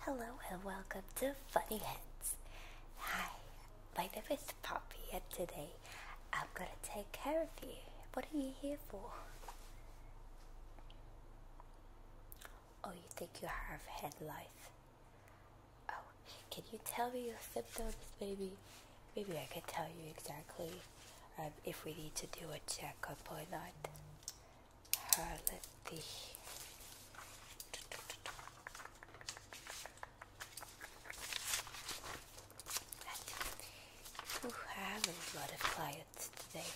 Hello and welcome to Funny Heads. Hi, my name is Poppy, and today I'm gonna take care of you. What are you here for? Oh, you think you have head lice? Oh, can you tell me your symptoms? Maybe, maybe I can tell you exactly um, if we need to do a checkup or not. Harlothy. You have a lot of clients today.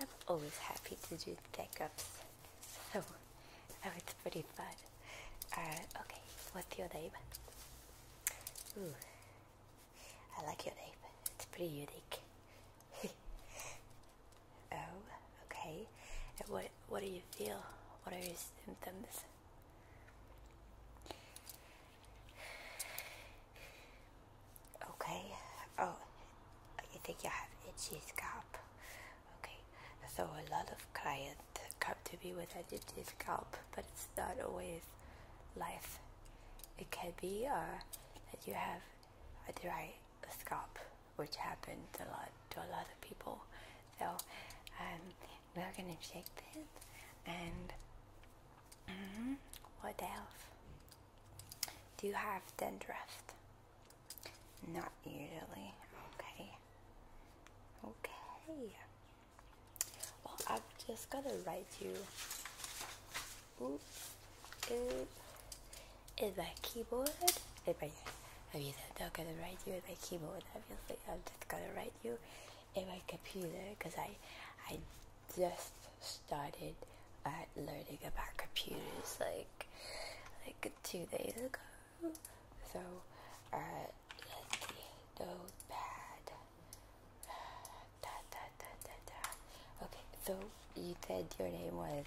I'm always happy to do checkups, so that was oh, pretty fun. Uh, okay, what's your name? Ooh, I like your name. It's pretty unique. oh, okay. what what do you feel? What are your symptoms? Okay. Oh, I think you have itchy scalp. Okay. So a lot of clients come to me with itchy scalp, but it's not always life. It can be uh, that you have a dry scalp, which happens a lot to a lot of people. So um, we're gonna shake this and mm-hmm, what else? Do you have dandruff? Not usually. Okay. Okay. Well, I've just gotta write you is my keyboard. If I, I am not gonna write you in my keyboard, obviously. I'm just gonna write you in my computer because I, I just started uh, learning about computers like, like two days ago. So, uh, let's notepad. Okay, so you said your name was.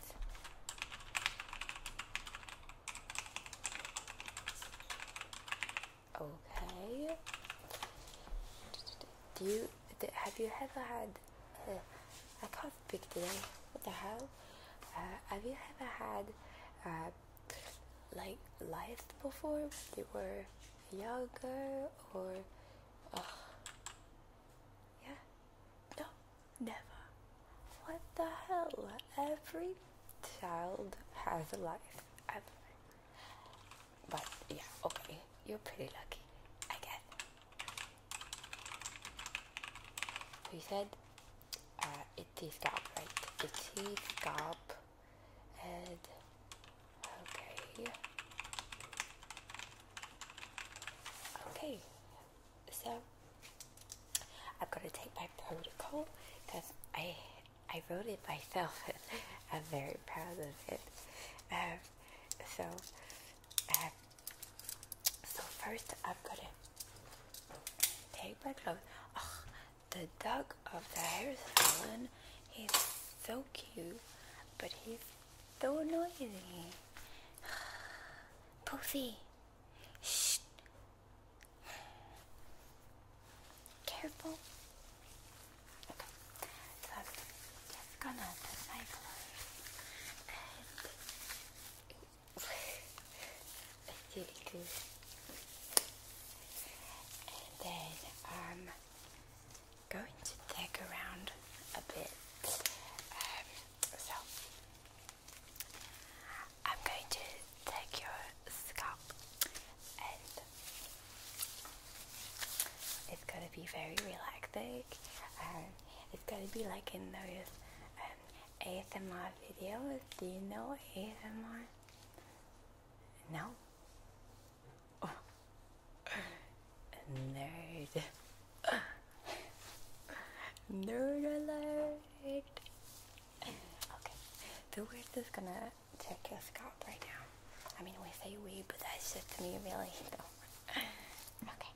Okay. Do you have you ever had? Uh, I can't speak today. What the hell? Uh, have you ever had uh, like lice before when you were younger or? yeah. No, never. What the hell? Every child has a life. But yeah, okay. You're pretty lucky. I guess. He said uh, it is scalp, right? It is scalp. And okay. Okay, so i have got to take my protocol because I I wrote it myself. I'm very proud of it. Um, so, um, so first I've going gonna take my clothes. Oh, the dog of the hair salon. He's so cute, but he's don't Poofy. Shh. Careful. Okay. So i gonna disciple and I And then um going to take around a bit. Um, so, I'm going to take your scalp and it's going to be very relaxing. Um, it's going to be like in those um, ASMR videos. Do you know ASMR? No? Oh, Nerd. Nerd alert. Okay. The word gonna check your scalp right now. I mean, we say we, but that's just me, really. Okay. Okay.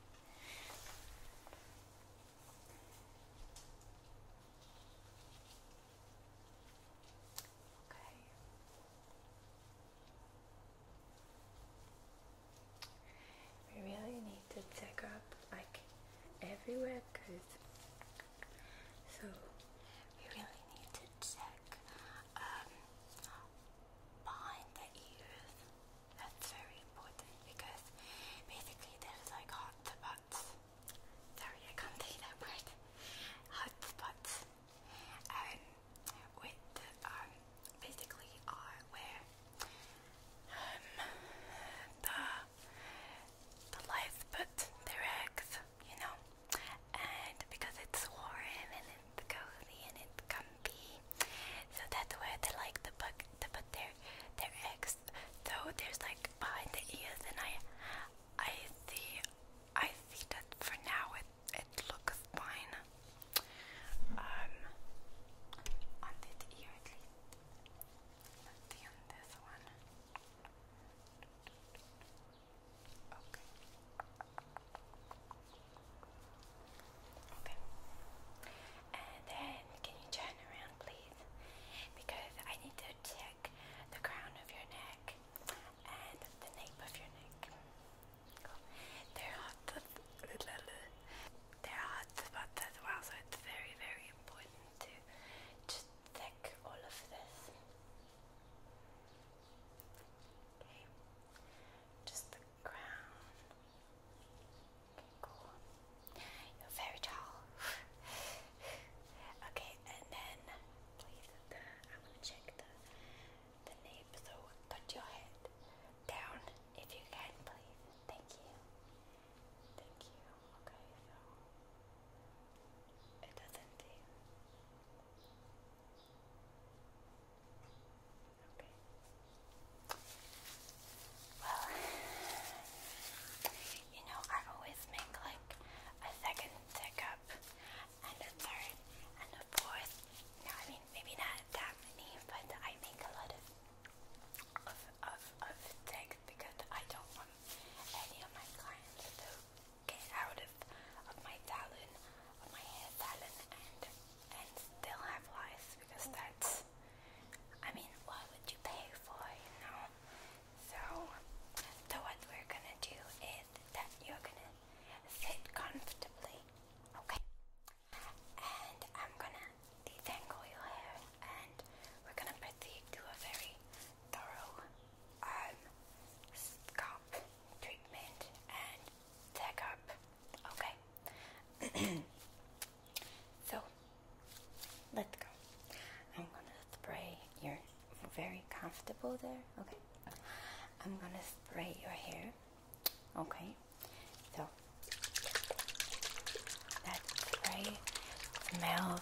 We really need to check up like everywhere because so we really need to check um, behind the ears. That's very important because basically there's like hot spots. Sorry, I can't say that word. Hot spots. Um, with um, basically I wear um, the the lights, but they eggs, you know. And because it's warm and it's cozy and it's comfy, so that's where they like to put to put their their eggs. So there's like behind the ears, and I I see I see that for now it it looks fine um, on that ear at least let's see one okay okay and then can you turn around please because I need to check the crown of your neck and the nape of your neck they're hot, they're hot, but as well, so it's very, very important to just check all of this. Okay, just the crown. Okay, cool. You're very tall. okay, and then please, I'm gonna check the the nape, so put your head down if you can, please. Thank you. Thank you. Okay, it doesn't Okay. Well, you know, I always make like a second stick up and a third and a fourth. You I mean, maybe not that many, but I make a lot of of of, of because I don't want any of my clients to get out of of my talent, of my hair talent, and and still have lies because that's. I mean, what would you pay for, you know? So, so what we're gonna do is that you're gonna sit comfortably, okay? and I'm gonna detangle your hair and we're gonna proceed a very thorough um, scalp treatment and tech okay? so, let's go. I'm gonna spray your very comfortable there, okay? I'm gonna spray your hair Okay, so that spray smells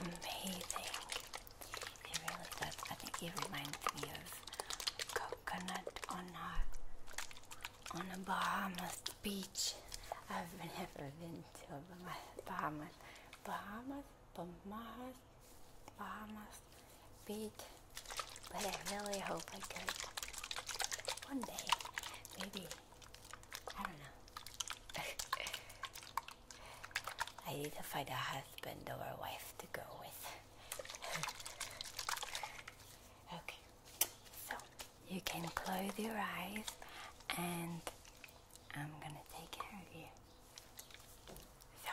amazing. It really does. I think it reminds me of coconut on a on a Bahamas beach. I've never been to Bahamas, Bahamas, Bahamas, Bahamas, Bahamas beat, but I really hope I could. One day, maybe. I don't know. I need to find a husband or a wife to go with. okay, so you can close your eyes and I'm gonna take care of you. So.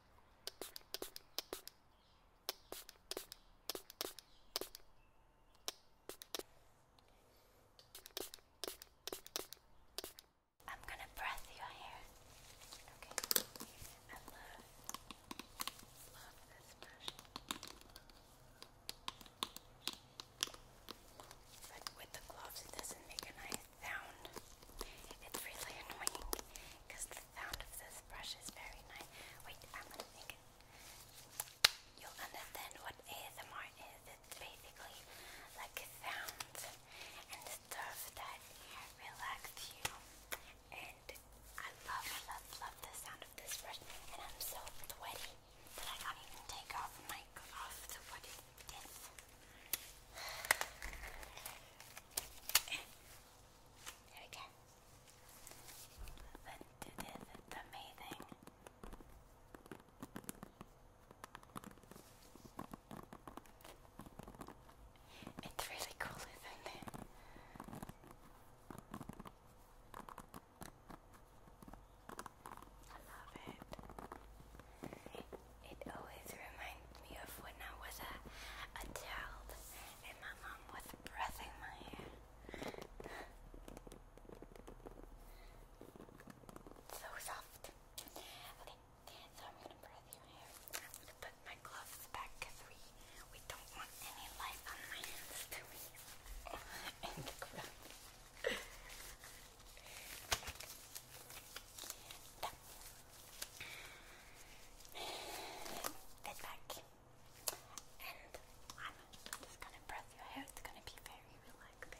I'm gonna breath your hair. Okay. I love, love this brush. But with the gloves, it doesn't make a nice sound. It's really annoying because the sound of this brush is very nice. Wait, I'm going You'll understand what ASMR is. It's basically like sounds and stuff that relax you. And I love, love, love the sound of this brush. And I'm so sweaty that I can't even take off my off the what There we go. let It's amazing. It's really cool, isn't it? I love it it always reminds me of when I was a, child and my mom was brushing my hair. so soft. so I'm gonna brush your hair. I'm gonna put my gloves back we, we don't want any light on my hands to and the Get back. And I'm just gonna brush your hair, it's gonna be very relaxing.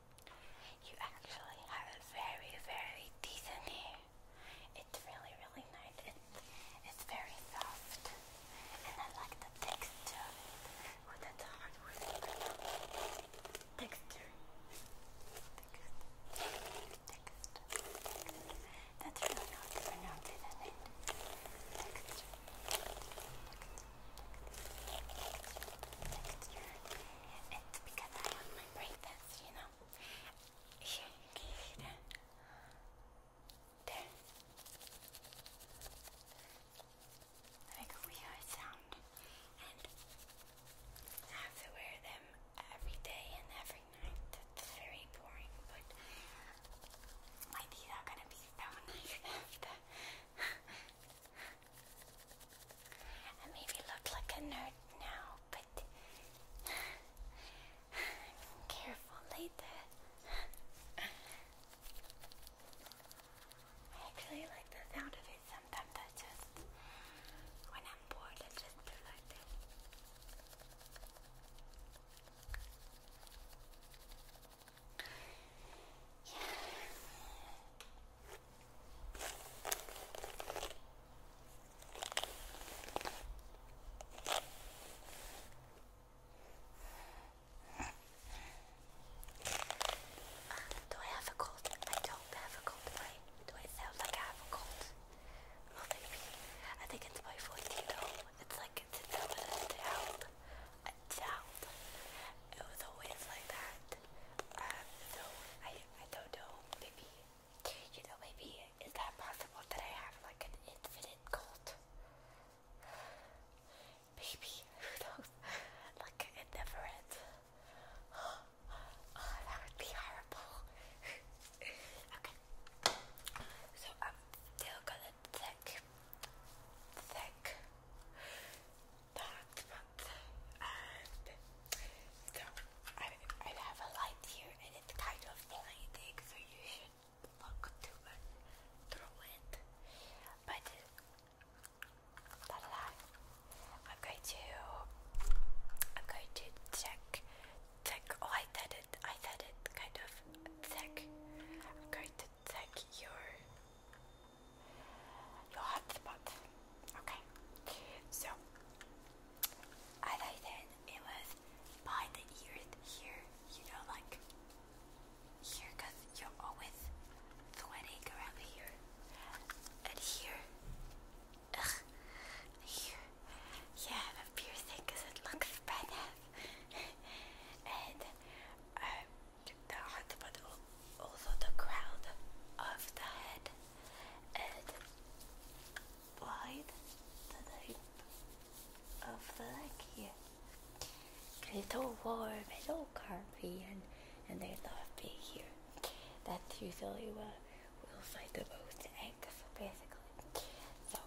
You actually have a very, very decent hair. It's really, really nice. It's, very soft. And I like the texture of hard word. Texture. Texture. Texture. That's really not it? It's because I have my braces, you know. Here, you can There. Like a sound. And have to wear them every day and every night. That's very boring, but my teeth are gonna be so nice I maybe look like a nerd now, but I'm careful later. I actually like the sound of it sometimes. I just, when I'm bored, I just do like this. Yeah. Do I have a cold? I don't have a cold, right? Do I sound like I have a cold? Well, maybe. I think it's my voice, you It's like it's in the doubt. It was always like that. Um, so I I don't know, maybe, you know, maybe is that possible that I have like an infinite cult? Maybe, who knows? Like it never ends. Oh, that would be horrible. okay. So I'm still gonna thick, thick, I, have a light here and it's kind of blinding, so you should look through it. But da, da, I'm going to I'm going to check check oh I said it I said it kind of check I'm going to check your your hotspot. Okay, so as I it was by the ears here, you know, like here, you're always sweating around here, and here, ugh, here. Yeah, the piercing because it looks badass. and um, the hot oh, over the crown of the head and blind the nape of the neck here. It's all warm it's all comfy and, and they love being here. That's usually where will find the most eggs basically. So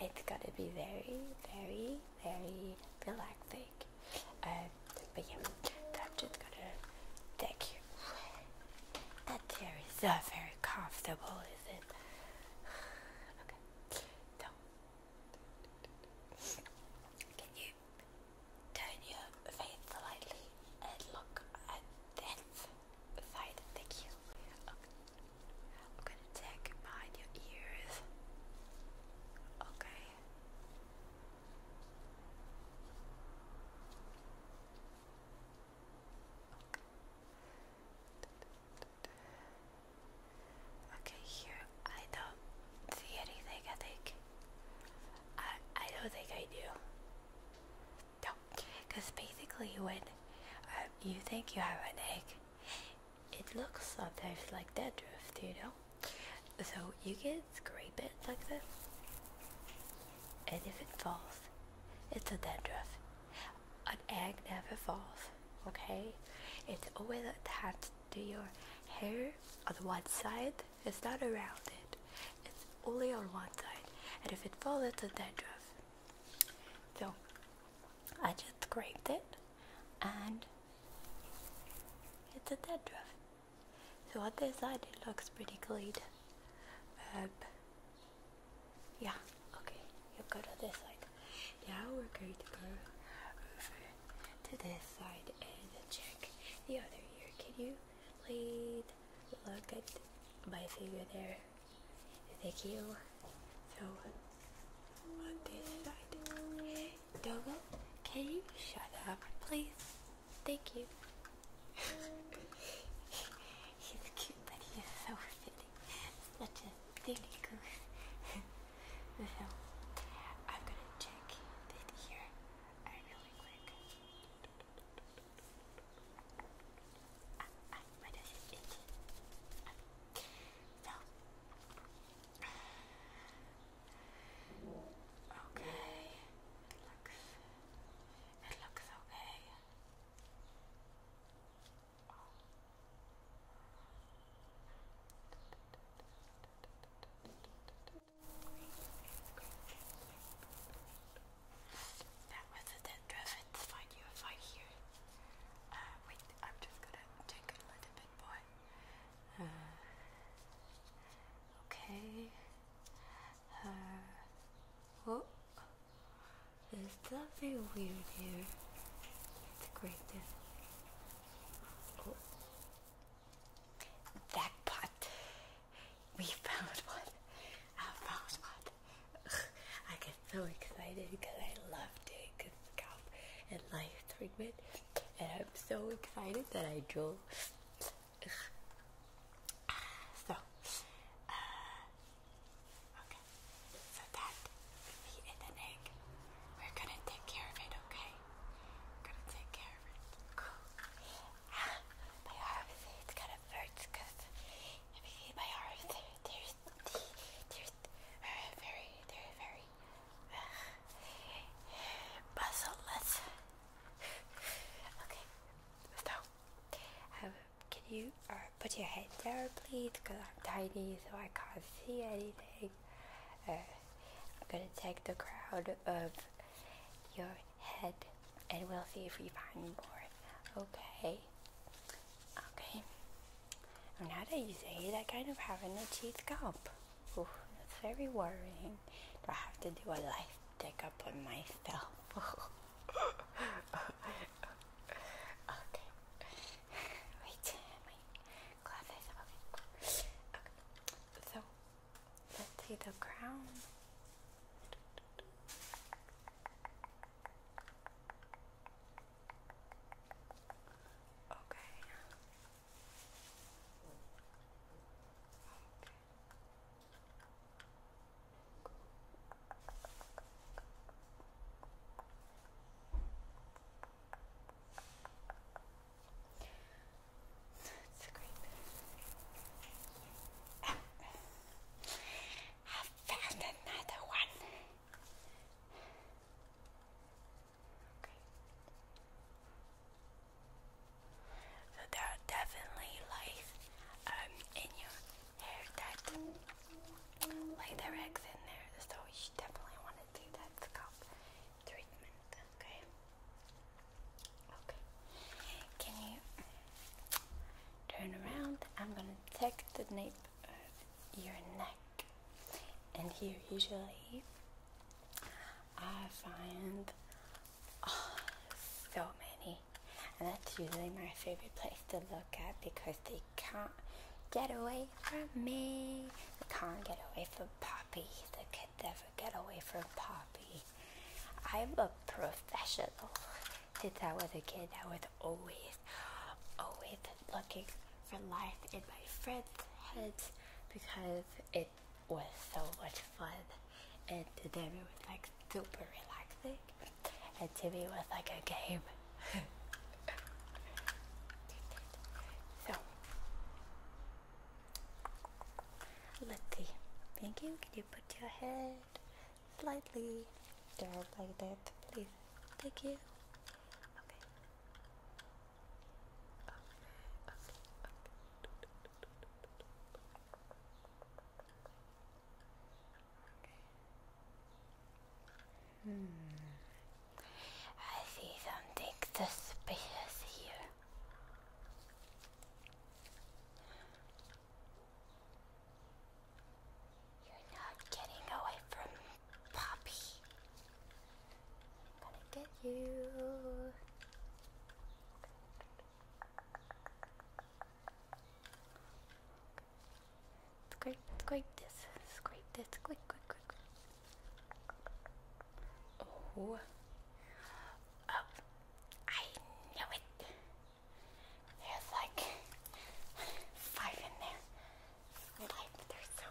it's gonna be very, very, very relaxing. Um, but yeah, I'm just gonna take you. That chair is not very comfortable, is it? Okay, so can you turn your face slightly and look at that side? Thank you. I'm gonna take behind your ears. Okay. Okay, here I don't see anything. I think I I don't think I do. No, because basically when um, you think you have an egg, it looks sometimes like dandruff, drift. you know? So you can scrape it like this, and if it falls, it's a dandruff. An egg never falls, okay? It's always attached to your hair on one side, it's not around it, it's only on one side, and if it falls, it's a dandruff. So I just scraped it, and it's a dandruff. So on this side it looks pretty clean. Um, yeah, okay, you go to this side. Now we're going to go over to this side and check the other ear. Can you please look at my finger there? Thank you. So on this side. Dogo, can you shut up please? Thank you. he's cute, but he so fitting. Such a silly goose. I'm gonna check here i really quick. Ah, Okay, it looks, it looks okay. That was a dead driven find you here. wait, I'm just gonna take it a little okay her. Uh, Whoa, oh, there's weird here. It's great. Oh. Jackpot! We found one. I found one. I get so excited because I love doing scalp and life treatment, and I'm so excited that I drew so, uh, okay. So that will in the egg. We're gonna take care of it, okay? gonna take care of it. Cool. Ah, my arm, it's kind of hurts because if you see my arms, they're, they're, they're, they're uh, very, very uh, okay, so um, can you uh, put your head there, please? Because I'm tiny, so I can't see anything. Uh, I'm gonna take the crown of your head, and we'll see if we find more. Okay. Okay. Now that you say that, I kind of have an itchy scalp. that's very worrying. I have to do a life? Take up on myself. okay. Wait, So, let's see the crown. Okay. That's great. found another one. So there are definitely lights um, in your hair that like the Rex in there. So you definitely want to do that scalp treatment, okay? Okay. Can you turn around? I'm gonna take the nape of your neck. And here usually I find Oh, so many. And that's usually my favorite place to look at because they can't get away from me. They can't get away from Poppy. They could never get away from Poppy. I'm a professional. Since I was a kid, I was always, always looking for life in my friends' heads because it was so much fun, and today them it was like super relaxing, and to was like a game. so let's see. Thank you. Can you put your head slightly down like that, please? Thank you. Okay. Hmm. I see something suspicious here. You're not getting away from Poppy. I'm gonna get you. Scrape, scrape this, scrape this, quick, quick, quick. Oh, oh, I knew it. There's like five in there, five. They're so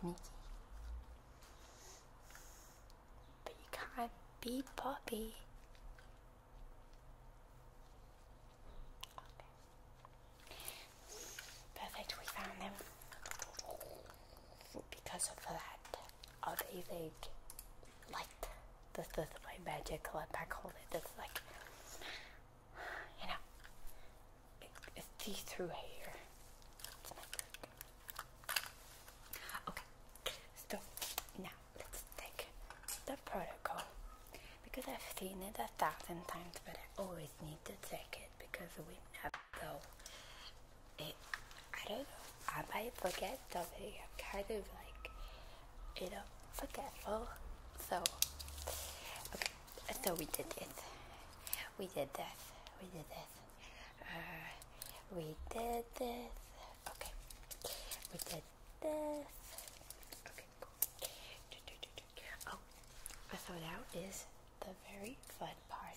sneaky. But you can't beat Poppy. Perfect, we found them. Because of that, oh, they like, like the, the, the my magic let back hold it. That's like, you know, it's see through hair. Okay, so now let's take the protocol because I've seen it a thousand times, but I always need to take it because we have know. I don't know, I might forget something. I'm kind of like, you know, forgetful. So, okay, so we did it. We did that. We did that. Uh, we did this. Okay. We did this. Okay, cool. Oh, so now is the very fun part.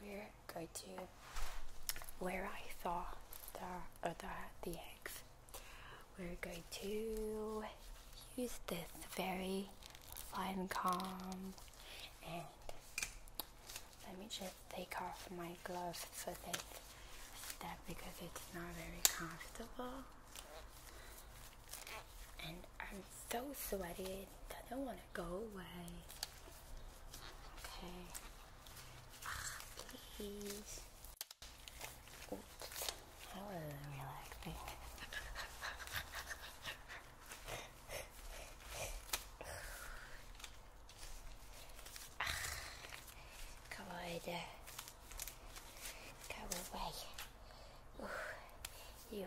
We're going to where I saw the uh, the, the eggs. We're going to use this very fun comb and let me just take off my gloves for this step because it's not very comfortable. And I'm so sweaty, it doesn't want to go away. Okay. Ah, please. Oops. That relaxing. Go ah, on. Come away. Ooh, you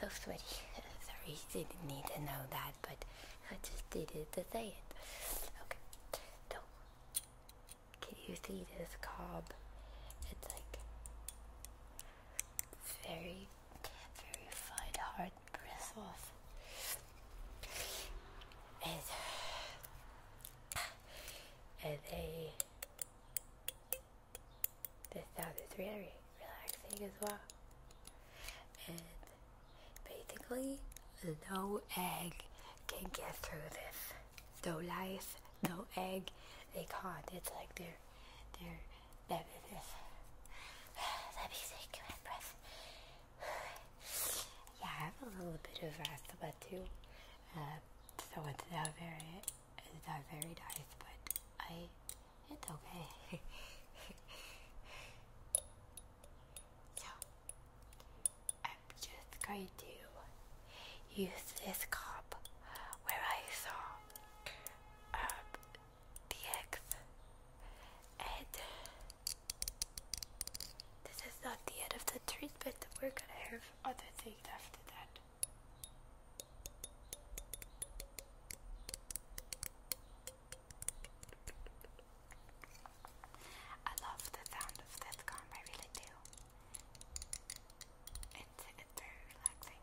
so sweaty. Sorry, you didn't need to know that, but I just did it to say it. Okay. So, can you see this cob? It's like very Verified hard breath off. And, and they, this sound is very relaxing as well. And basically, no egg can get through this. No life, no egg, they can't. It's like they're, they're Let me take my breath. Yeah, I have a little bit of asthma too, uh, so it's not very it's not very nice, but I it's okay. so I'm just going to use this cup where I saw um, the eggs and this is not the end of the treatment we're gonna have other things after that I love the sound of this gum, I really do. it's very relaxing.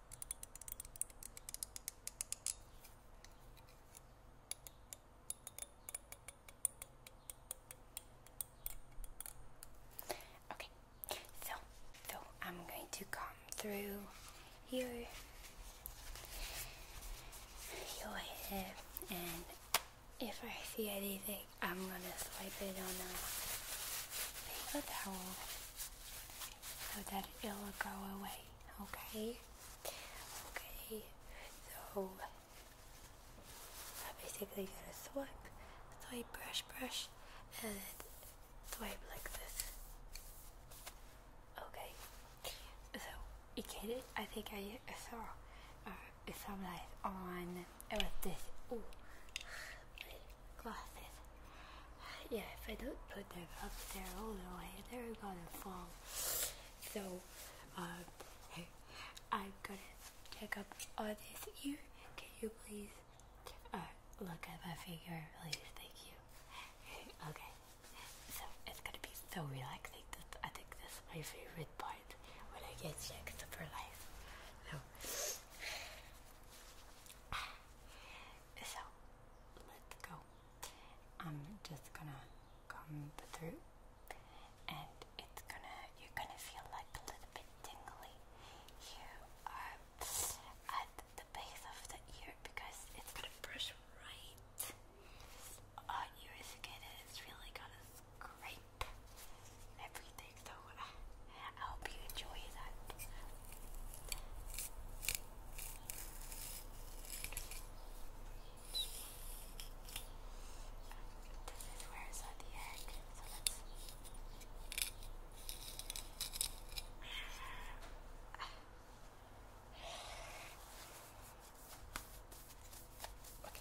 Okay, so so I'm going to come through here, your head, and if I see anything, I'm gonna swipe it on a paper towel so that it will go away. Okay, okay. So I basically got to swipe, swipe, brush, brush, and swipe like this. Okay, so you get it. I think I saw uh, some light on with this. Ooh, glasses yeah, if I don't put them up there all the way, they're gonna fall. So, I'm gonna check up on this ear. Can you please look at my finger, please? Thank you. okay, so it's gonna be so relaxing. This, I think this is my favorite part when I get checked for life. So. So let's go. I'm just gonna come through and it's gonna you're gonna feel like a little bit tingly You are at the base of the ear because it's gonna brush right on your skin and it's really gonna scrape everything something, so uh, I hope you enjoy that. This is where I saw the egg, so let's. Okay.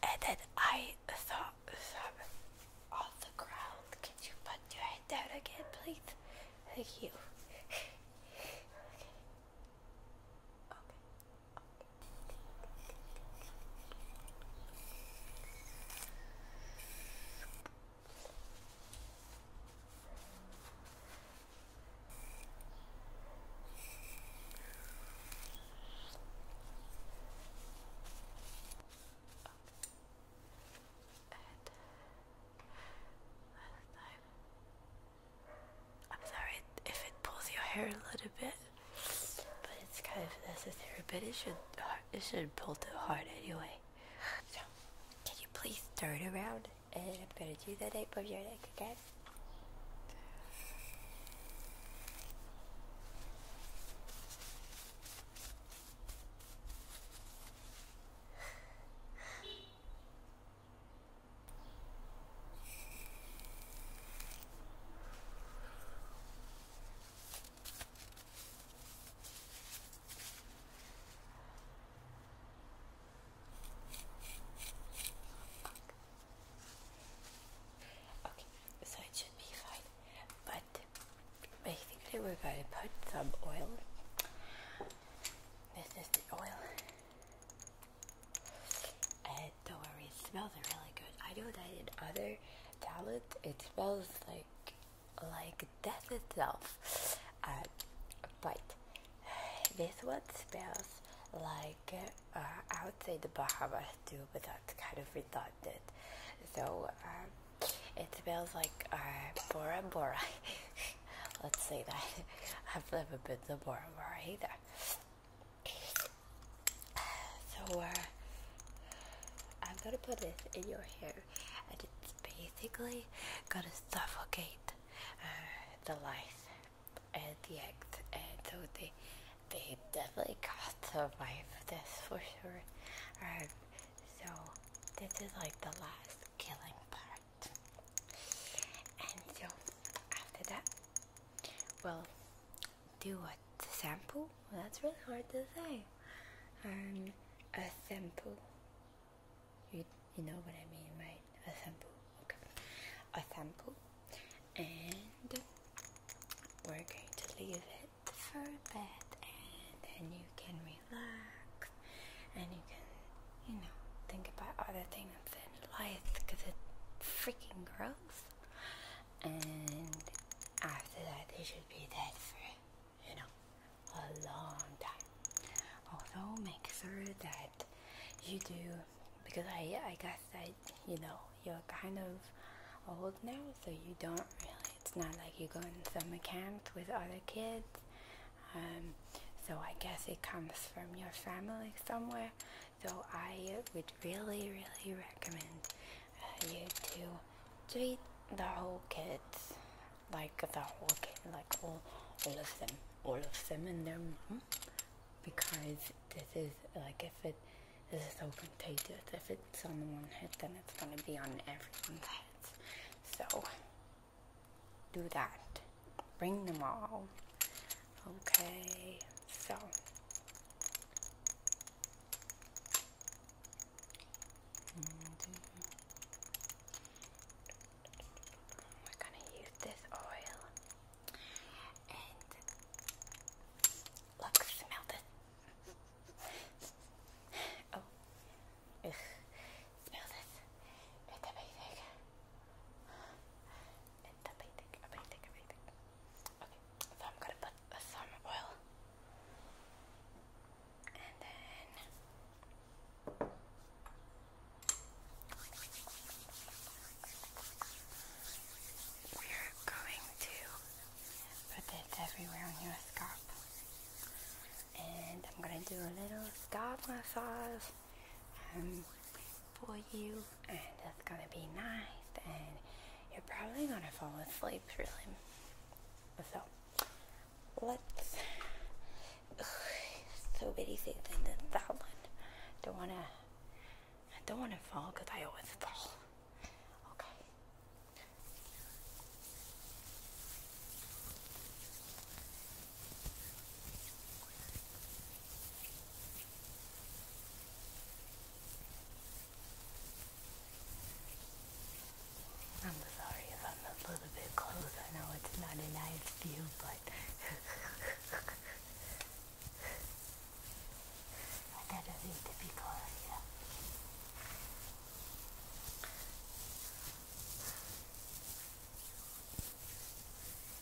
And then I thought on the ground. Can you put your head down again, please? Thank you. Okay. Okay. And last uh, time I'm sorry if it pulls your hair a little bit, but it's kind of necessary. But it should it should pull too hard anyway. So can you please turn around? And I'm gonna do that nape of your neck again. Okay, so it should be fine, but basically we're going to put some oil. This is the oil don't worry, it smells really good. I know that in other talent, it smells like like death itself. Uh, but this one smells like I would say the Bahamas too, but that's kind of redundant. So uh, it smells like uh, Bora Bora. Let's say that. I've never been to Baltimore either. So, uh, I'm gonna put this in your hair, and it's basically gonna suffocate uh, the life and the act. and so they they definitely can't survive this for sure. Um, so this is like the last killing part and so after that well do what sample that's really hard to say um a sample you you know what I mean right a sample okay a sample and we're going to leave it for a bit and then you can relax and you can you know, think about other things in life because it's freaking gross. And after that, they should be dead for, you know, a long time. Also, make sure that you do, because I, I guess that, you know, you're kind of old now, so you don't really, it's not like you go in summer camps with other kids um, so I guess it comes from your family somewhere. So I would really, really recommend uh, you to treat the whole kids, like the whole kid, like all, all of them, all of them and their mom, hmm? because this is like if it this is so contagious. If it's on one head, then it's gonna be on everyone's heads. So do that bring them all okay so we're gonna use this oil and look smell this oh Smell this. It's amazing. It's amazing, amazing, amazing. Okay, so I'm gonna put some oil and then we're going to put this everywhere on your scalp. And I'm gonna do a little scalp massage um, for you, and it's gonna be nice, and you're probably gonna fall asleep really. So let's. so many things in this, that one. Don't wanna. I don't wanna fall because I always fall. Okay. I'm sorry if I'm a little bit close. I know it's not a nice view, but I gotta read the people here.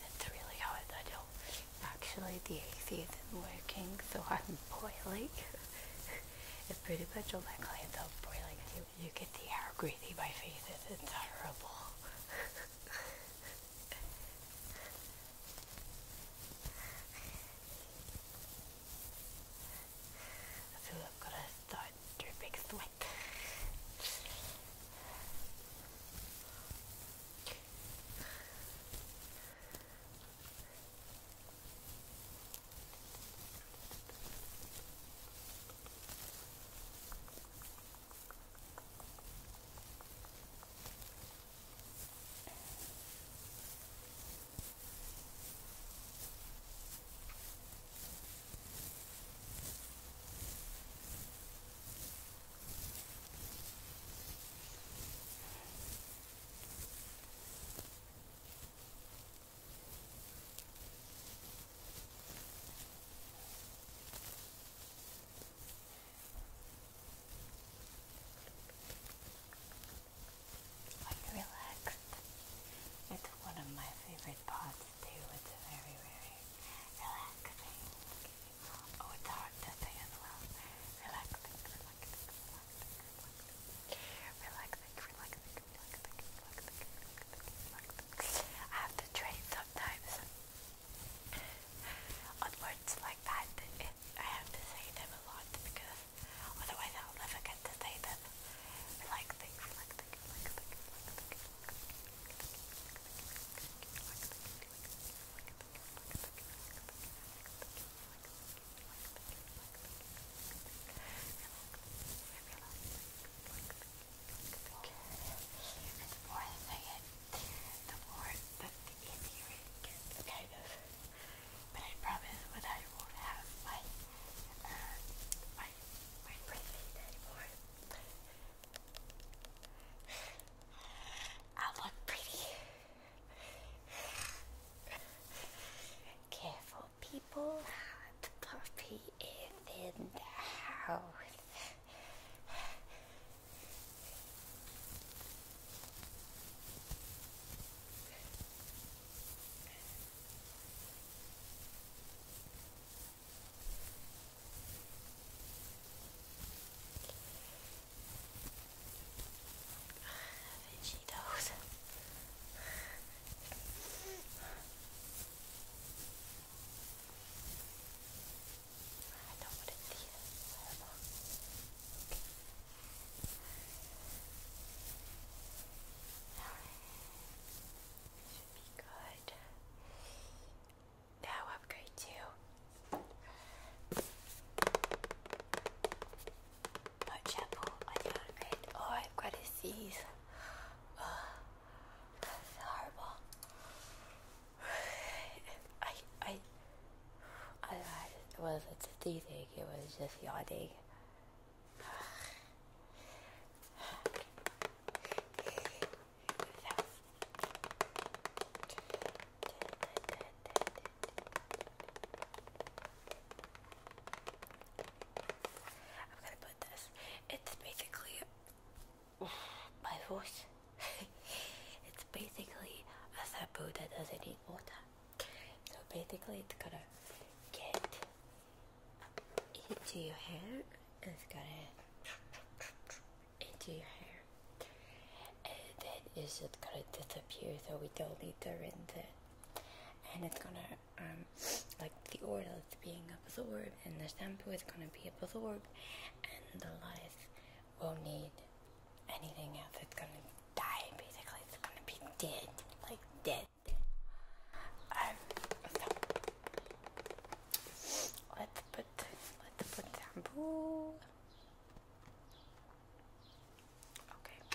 That's really hard. I don't. Actually, the AC isn't working, so I'm boiling. it's pretty much all my clients are boiling too. You get the air greasy by faith. It's horrible. I feel got a start dripping sweat. Are It's one of my favorite parts too. It's very, very relaxing. Oh, it's hard to say as well. Relaxing, relaxing, relaxing, relaxing, relaxing, relaxing, relaxing, relaxing, I have to train sometimes on words like that. It, I have to say them a lot because otherwise I'll never get to say them. Relaxing, relaxing the more I say it, the more the, the easier it gets, kind of. But I promise when I won't have my, uh, my I look pretty. Careful, people. The puppy is in the house. Cheetos. I don't want it here. Whatever should be good. Now i to put shampoo Oh, I've got a sneeze. that's horrible. I, I, I, I wasn't sneezing, it was just yawning. I'm gonna put this. It's basically my voice. it's basically a shampoo that doesn't need water. So basically, it's gonna get into your hair and it's gonna into your hair and then just gonna disappear so we don't need to rinse it and it's gonna um like the oil is being absorbed and the shampoo is gonna be absorbed and the lice won't need anything else it's gonna die basically it's gonna be dead like dead let's put let's put shampoo. Okay. So.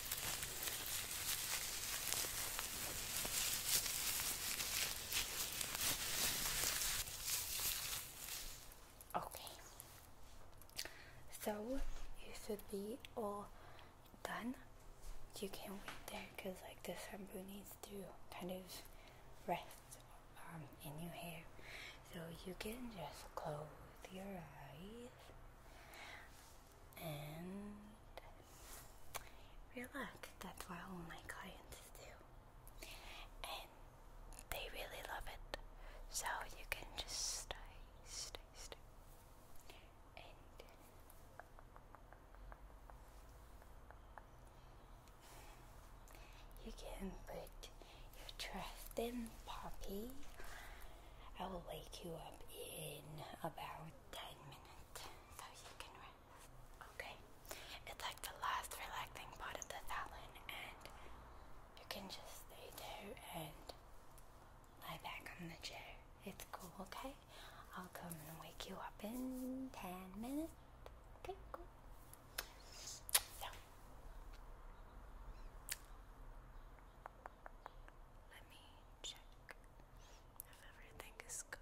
Okay, so you should be all done. You can wait there because, like, the shampoo needs to kind of rest um, in your hair. So you can just close your eyes and luck. That's what all my clients do, and they really love it. So you can just stay, stay, stay, and you can put your trust in Poppy I will wake you up in about 10 minutes so you can rest. Okay? It's like the last relaxing part of the salon, and you can just stay there and lie back on the chair. It's cool, okay? I'll come and wake you up in 10 minutes. Okay, cool. So, let me check if everything is good.